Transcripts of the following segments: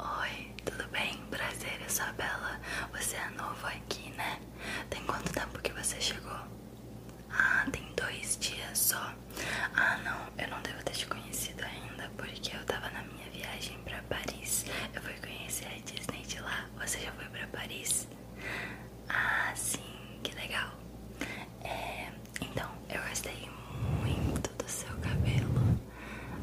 Oi, tudo bem? Prazer, eu sou a Bela. Você é novo aqui, né? Tem quanto tempo que você chegou? Ah, tem dois dias só. Ah, não, eu não devo ter te conhecido ainda, porque eu tava na minha viagem pra Paris. Eu fui conhecer a Disney de lá. Você já foi pra Paris? Ah, sim, que legal. É, então, eu gostei muito do seu cabelo.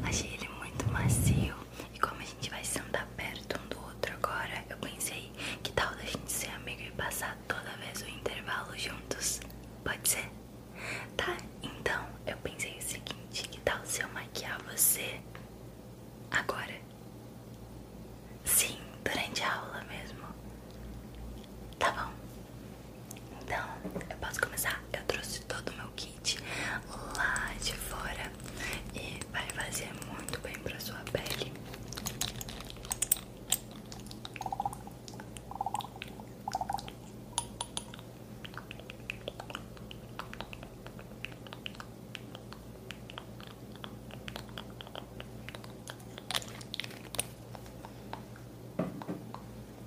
Achei ele muito macio. E como a gente vai se andar perto um do outro agora, eu pensei que tal da gente ser amigo e passar toda vez o intervalo juntos. Pode ser? Tá, então eu pensei o seguinte, que tal se eu maquiar você agora? Sim, durante a aula mesmo. Tá bom. Então, eu posso começar? Eu trouxe todo o meu kit lá de fora e vai fazer muito bem para sua pele.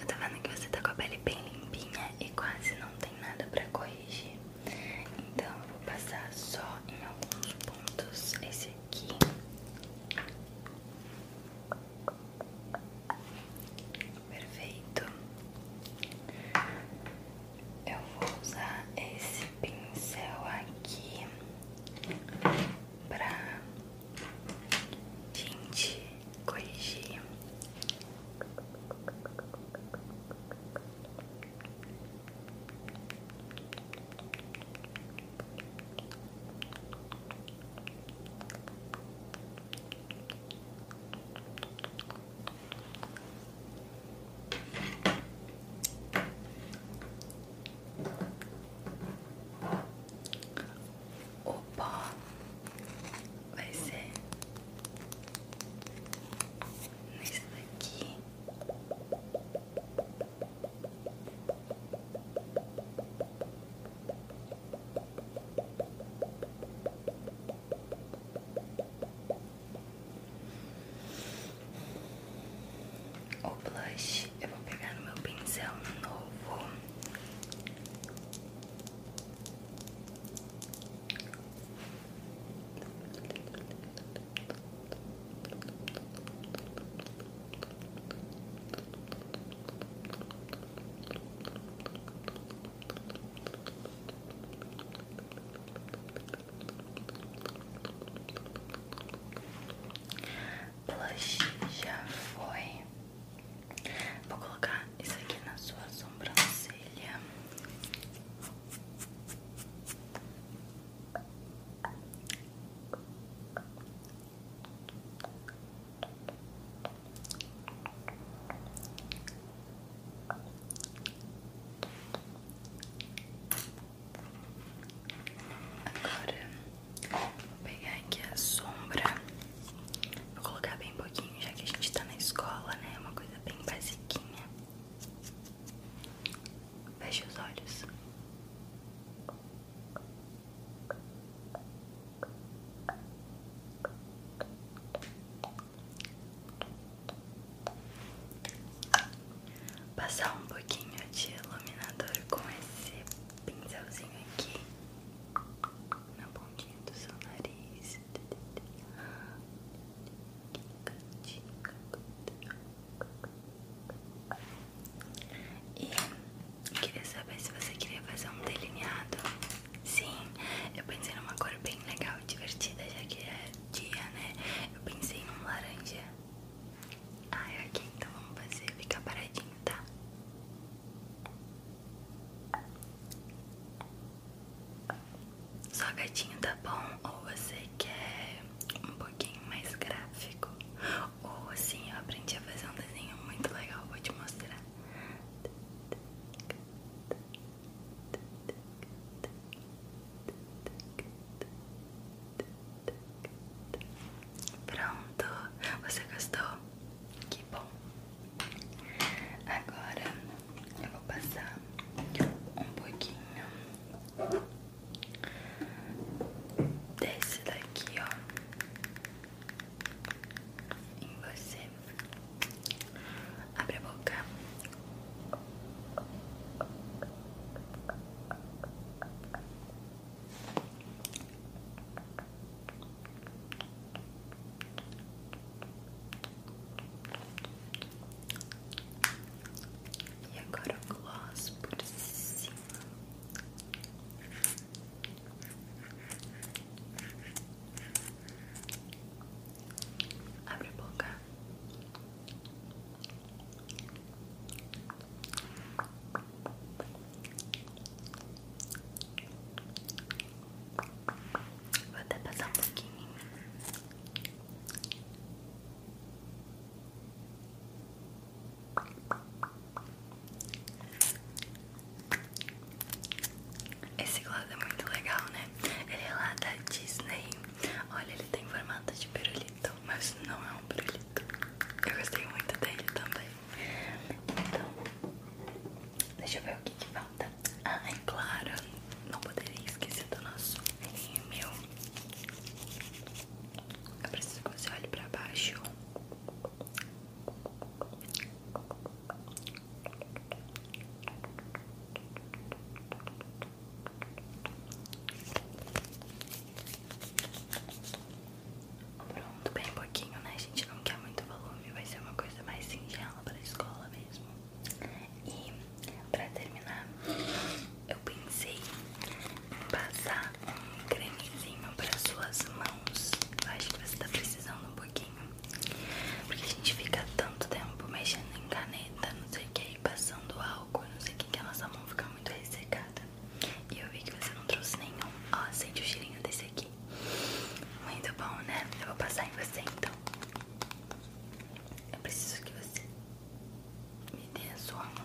Eu tô vendo que você tá com a pele bem limpinha e quase não tem nada pra corrigir. Então eu vou passar só em alguns pontos esse aqui. Perfeito eu vou usar esse pincel aqui pra gente corrigir Opa, vai ser nesse daqui. O blush eu vou pegar no meu pincel novo. Blush já foi. Vou colocar isso aqui na sua sobrancelha. Agora vou pegar aqui a sombra. Vou colocar bem pouquinho, já que a gente tá na escola, né? Uma coisa bem basiquinha. Feche os olhos. Passar um pouquinho de iluminador com esse pincelzinho aqui na pontinha do seu nariz. E queria saber se você queria fazer um delineado. Sim, eu pensei numa cor bem legal e divertida, já que é dia, né? Eu pensei num laranja. Ai é aqui, então vamos fazer. Fica paradinho, tá? Só gatinho tá bom? Ou você quer um pouquinho mais gráfico? Ou assim, eu aprendi a fazer um desenho muito legal, vou te mostrar. Pronto, você gostou? Que bom! Agora eu vou passar um pouquinho desse daqui, ó, em você. Abre a boca. E agora o gloss por cima. Abre a boca. Vou até passar um pouquinho. Esse gloss é muito legal, né? Ele é lá da Disney Olha, ele tem formato de pirulito, mas não é um pirulito. Eu gostei muito dele também. Então, deixa eu ver o que, que falta. Ah, é claro, não poderia esquecer do nosso meu. Eu preciso que você olhe pra baixo. Pronto, bem pouquinho, né? gente não quer muito volume, vai ser uma coisa mais singela pra escola mesmo. E pra terminar, eu pensei em passar um cremezinho para suas mãos. Eu acho que você tá precisando um pouquinho. Porque a gente fica tanto tempo mexendo em caneta não sei o que, aí passando álcool, não sei o que, que a nossa mão fica muito ressecada. E eu vi que você não trouxe nenhum. Ó, sente o cheirinho desse aqui. Muito bom, né? Eu vou passar em você então. Eu preciso que você me dê a sua mão.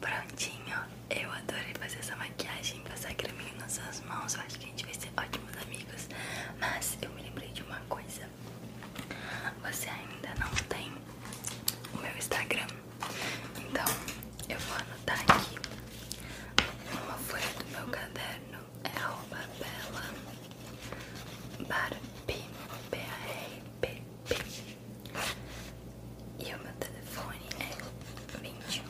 Prontinho, eu adorei fazer essa maquiagem, passar creminho nas suas mãos, acho que a gente vai ser ótimos amigos. Mas eu me lembrei de uma coisa, você ainda não tem o meu Instagram, então eu vou anotar aqui uma folha do meu caderno é arroba bela barpi, b a r p p E o meu telefone é 219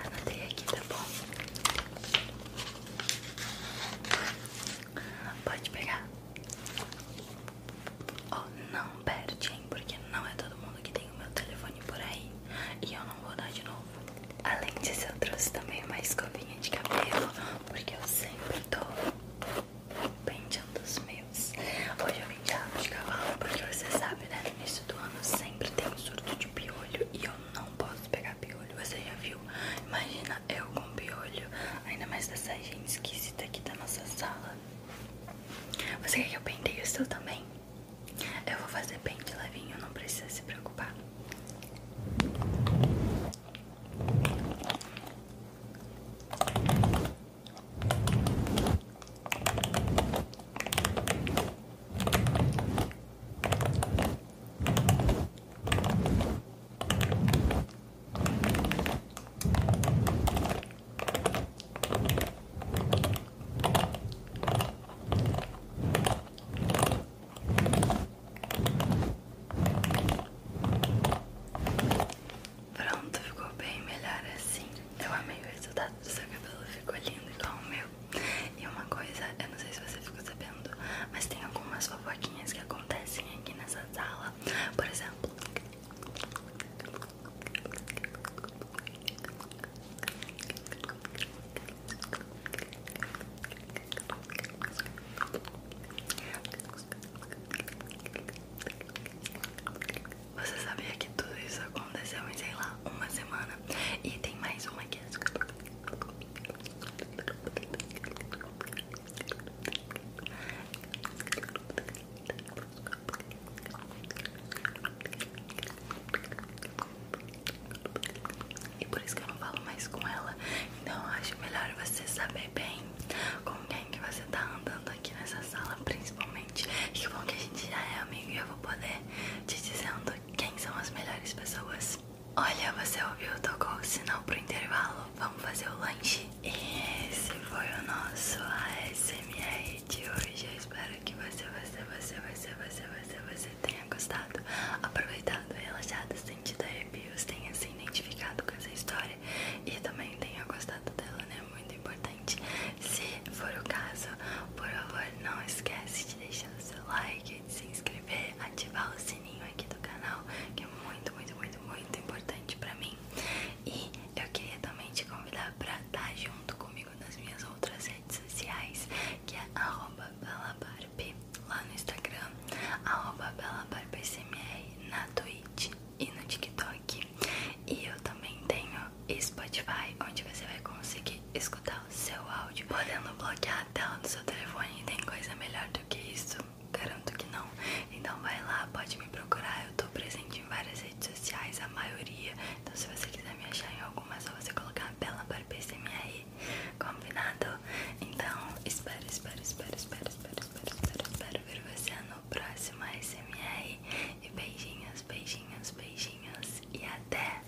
Anotei aqui, tá bom? Pode pegar. Oh, não perde, Porque não é todo mundo que tem o meu telefone por aí e eu não vou dar de novo. Além disso, eu trouxe também uma escovinha de cabelo, porque eu sempre tô penteando os meus. Hoje eu vim de rabo de cavalo, porque você sabe, né? No início do ano sempre tem um surto de piolho e eu não posso pegar piolho. Você já viu? Imagina eu com piolho, ainda mais dessa gente esquisita aqui da nossa sala. Você quer que eu penteie o seu também? Eu vou fazer bem de levinho, não precisa se preocupar. Pronto, ficou bem melhor assim. Eu amei o resultado do seu cabelo, ficou lindo igual o meu. E uma coisa, eu não sei se você ficou sabendo, mas tem algumas fofoquinhas que acontecem aqui nessa sala. Por exemplo, você sabia que tudo isso aconteceu em, sei lá, uma semana? E tem mais uma aqui. É e por isso que eu não falo mais com ela. Então eu acho melhor você saber bem com quem que você tá andando aqui nessa sala, principalmente. que bom que a gente já é amigo e eu vou poder te dizendo quem são as melhores pessoas. Olha, você ouviu, tocou o sinal pro intervalo. Vamos fazer o lanche. esse foi o nosso ASMR de hoje. Eu espero que você, você, você, você, você, você, tenha gostado, aproveitado, relaxado, sentido a arrepios, tenha se identificado com essa história e também tenha gostado dela, né? Muito importante. Se for o caso, por favor, não esqueça de deixar o seu like, de se inscrever, ativar o sininho aqui do canal, que é muito, muito, muito, muito importante pra mim. E eu queria também te convidar pra estar tá junto comigo nas minhas outras redes sociais, que é belabarb lá no Instagram, belabarpcmr na Twitch e no TikTok. E eu também tenho Spotify, onde você vai conseguir escutar o seu áudio, podendo bloquear a tela do seu telefone. Tem coisa melhor do que isso? Garanto que não. Então vai lá, pode me procurar, eu tô presente em várias redes sociais, a maioria. Então se você quiser me achar em alguma, é só você colocar a tela para PCMR. Combinado? Então, espero, espero, espero, espero, espero, espero, espero, ver você no próximo SMR. beijinhos, beijinhos, beijinhos. E até!